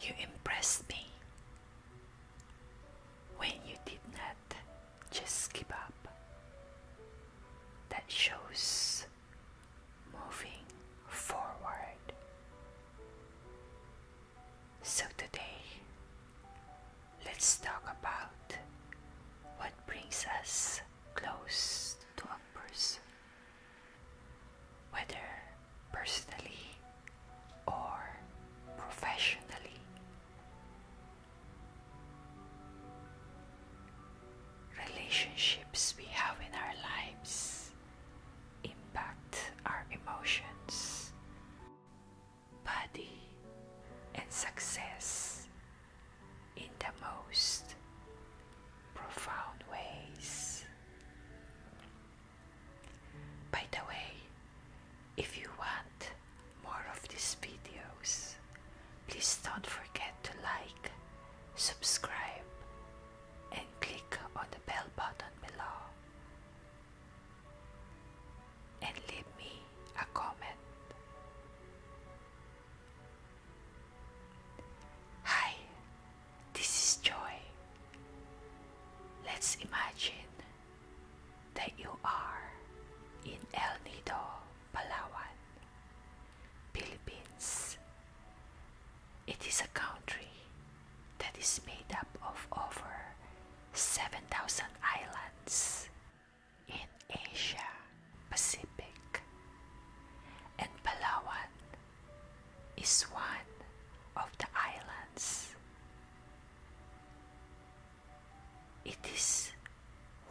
You impressed me when you did not just give up. That shows moving forward. So today, let's talk about what brings us close to a person, whether personally or professionally. Relationships we have in our lives impact our emotions, body, and success in the most profound ways. By the way, if you want more of these videos, please don't forget to like, subscribe, and click on the bell button below and leave me a comment. Hi, this is Joy. Let's imagine that you are in El Nido, Palawan, Philippines. It is a country that is made up of over 7,000 islands in Asia Pacific, and Palawan is one of the islands. It is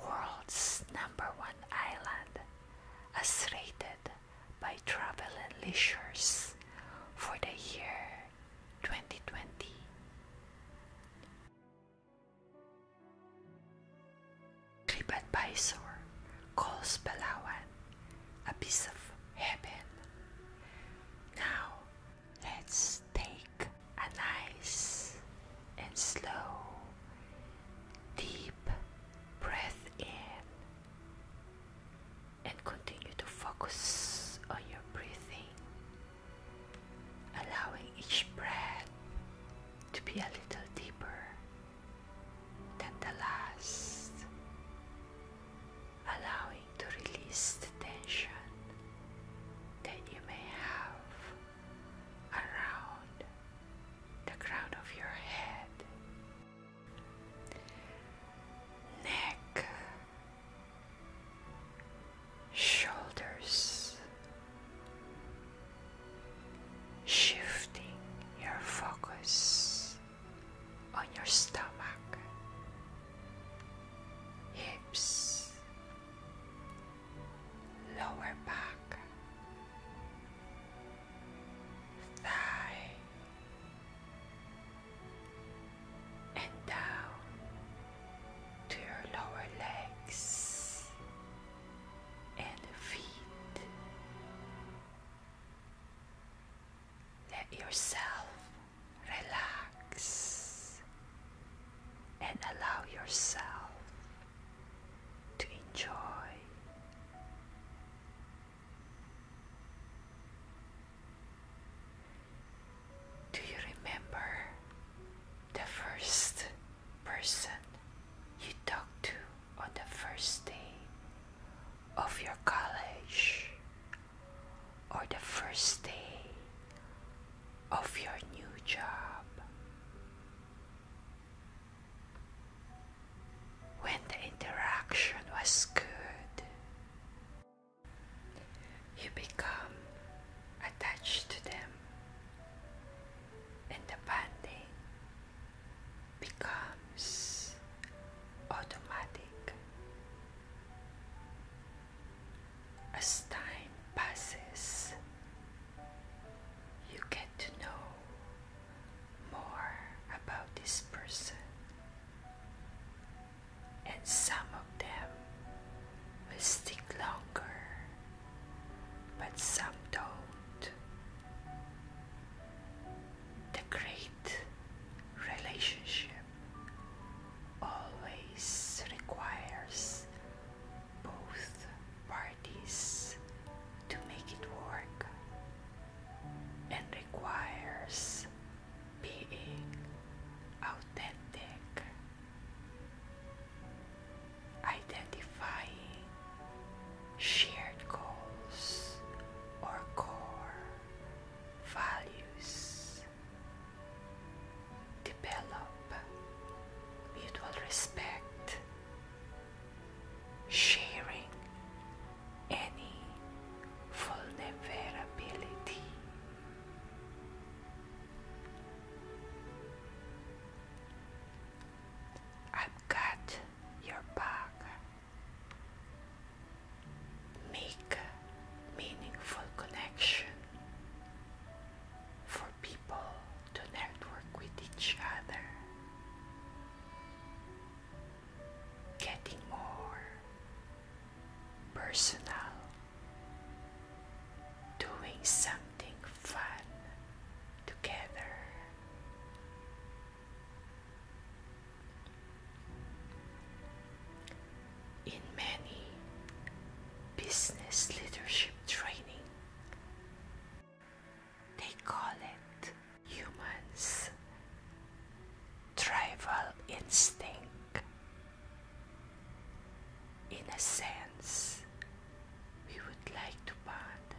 world's number one island as rated by Travel and Leisures for the year 2020. TripAdvisor calls Palawan a piece of heaven. Now, let's take a nice and slow, deep breath in and continue to focus on your breathing, allowing each breath to be a little deeper than the last, allowing to release the tension that you may have around the crown of your head neck, shoulders, shifting your focus on your stomach, hips, lower back, thigh and down to your lower legs and feet. Let yourself relax and allow yourself to enjoy do you remember the first person you talked to on the first day of your college or the first day of your new job? when the interaction was good, you become attached to them, and the bonding becomes automatic. As time passes, you get to know more about this person. And some of them will stick longer, but some don't. The great relationship always requires both parties parties to make it work and requires being authentic, identifying shared goals or core values, develop mutual respect sharing any vulnerability. I've got your back. Make meaningful connection for people to network with each other, getting more personal, doing something fun together. In many business leadership training they call it humans' tribal instinct. In a sense, we would like to bond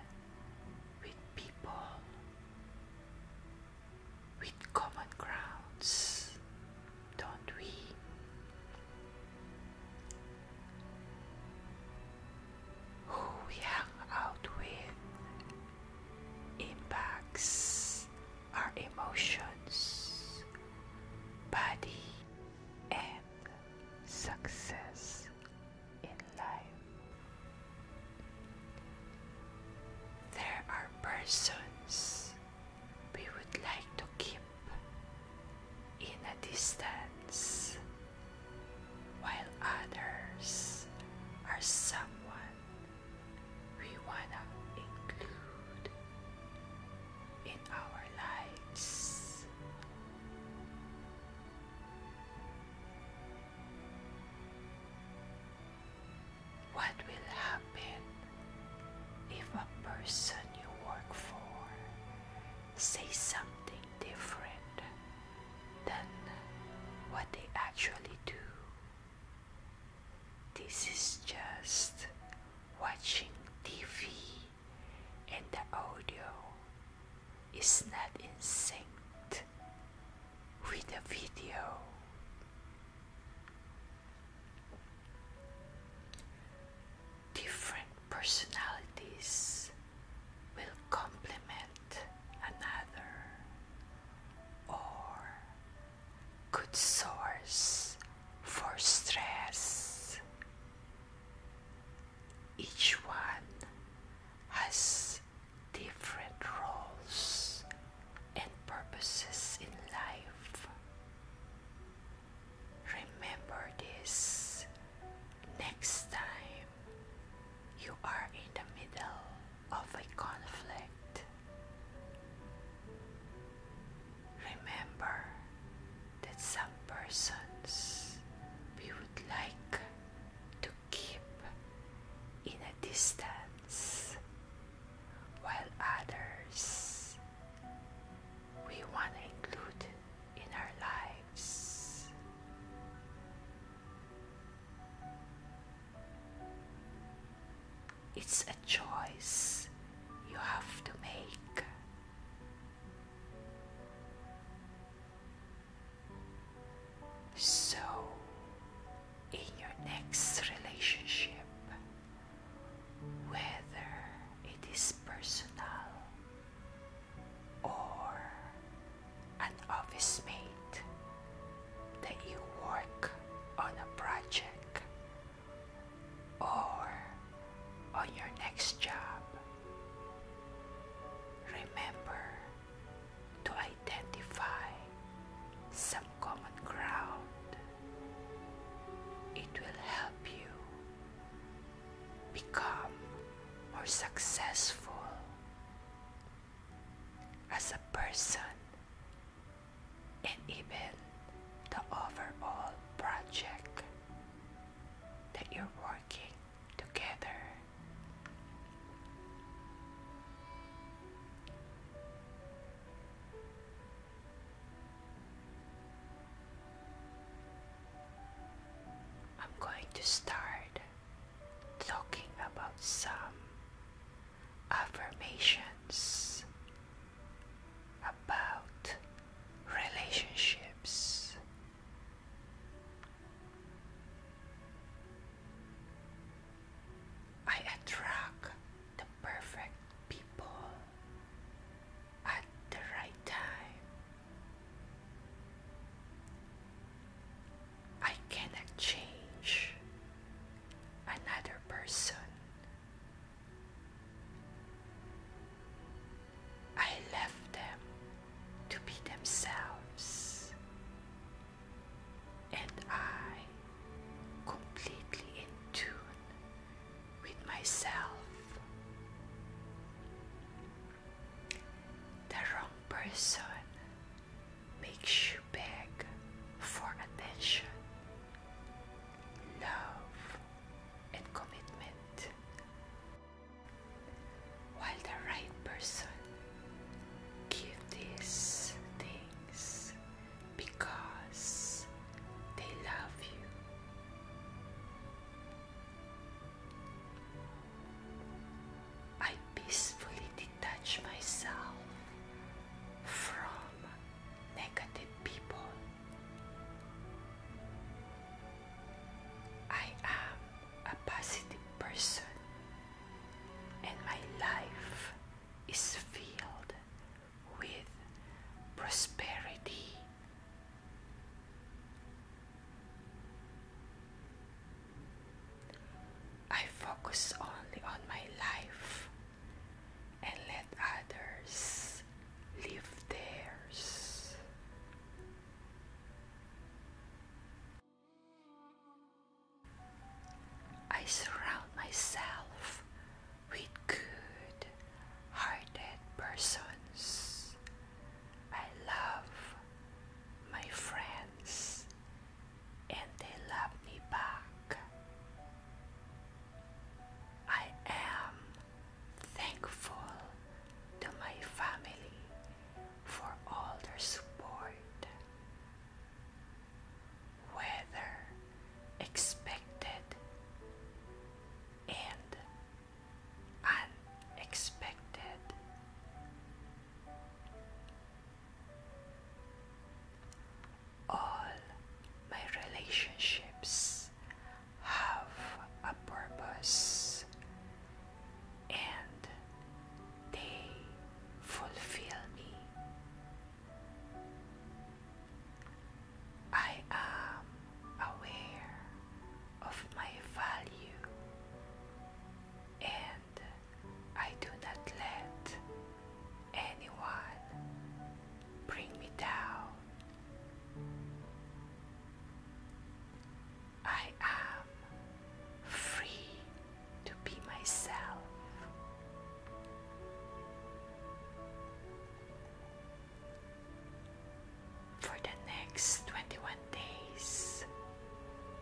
with people with common grounds, don't we? who we hang out with impacts our emotions, body, and success in life. There are persons we would like to keep in a distance, while others are someone we wanna include in our lives. What will happen if a person you work for says something different than what they actually do. This is just watching TV and the audio is not in sync with the video different personalities will complement another or good source for stress. Each one has different roles and purposes in life. Remember this next time you are in the middle of a conflict. Remember that some persons we would like to keep in a distance, while others we want to include in our lives. It's a choice you have to make. So, in your next relationship, whether it is personal or an office mate that you work on a project or on your next job. Remember to identify some common ground. It will help you become more successful as a person and even the overall project that you're working together. I'm going to start talking about some affirmations about relationships. I attract the perfect people at the right time. I cannot change another person. I left them to be themselves, and I completely in tune with myself. The wrong person makes you beg for attention, love, and commitment, while the right person gives these things because they love you. I peacefully detach myself from negative people. I am a positive person and my life is filled with prosperity. I focus only on my life and let others live theirs. I surround myself with good hearted persons. I love my friends and they love me back. I am thankful to my family for all their support, Weather expected and unexpected. All my relationships have a purpose and they fulfill me. I am aware of my value and I do not let anyone bring me down. I am free to be myself. For the next 21 days,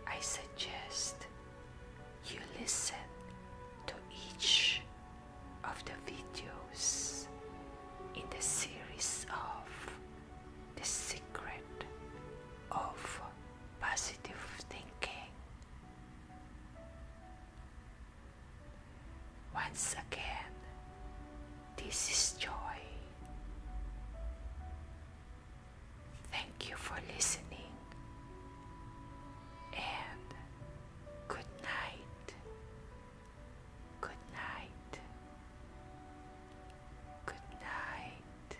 I suggest you listen to each of the videos in the series of The Secret of Positive Thinking. Once again, this is joy. Thank you for listening and good night. Good night. Good night.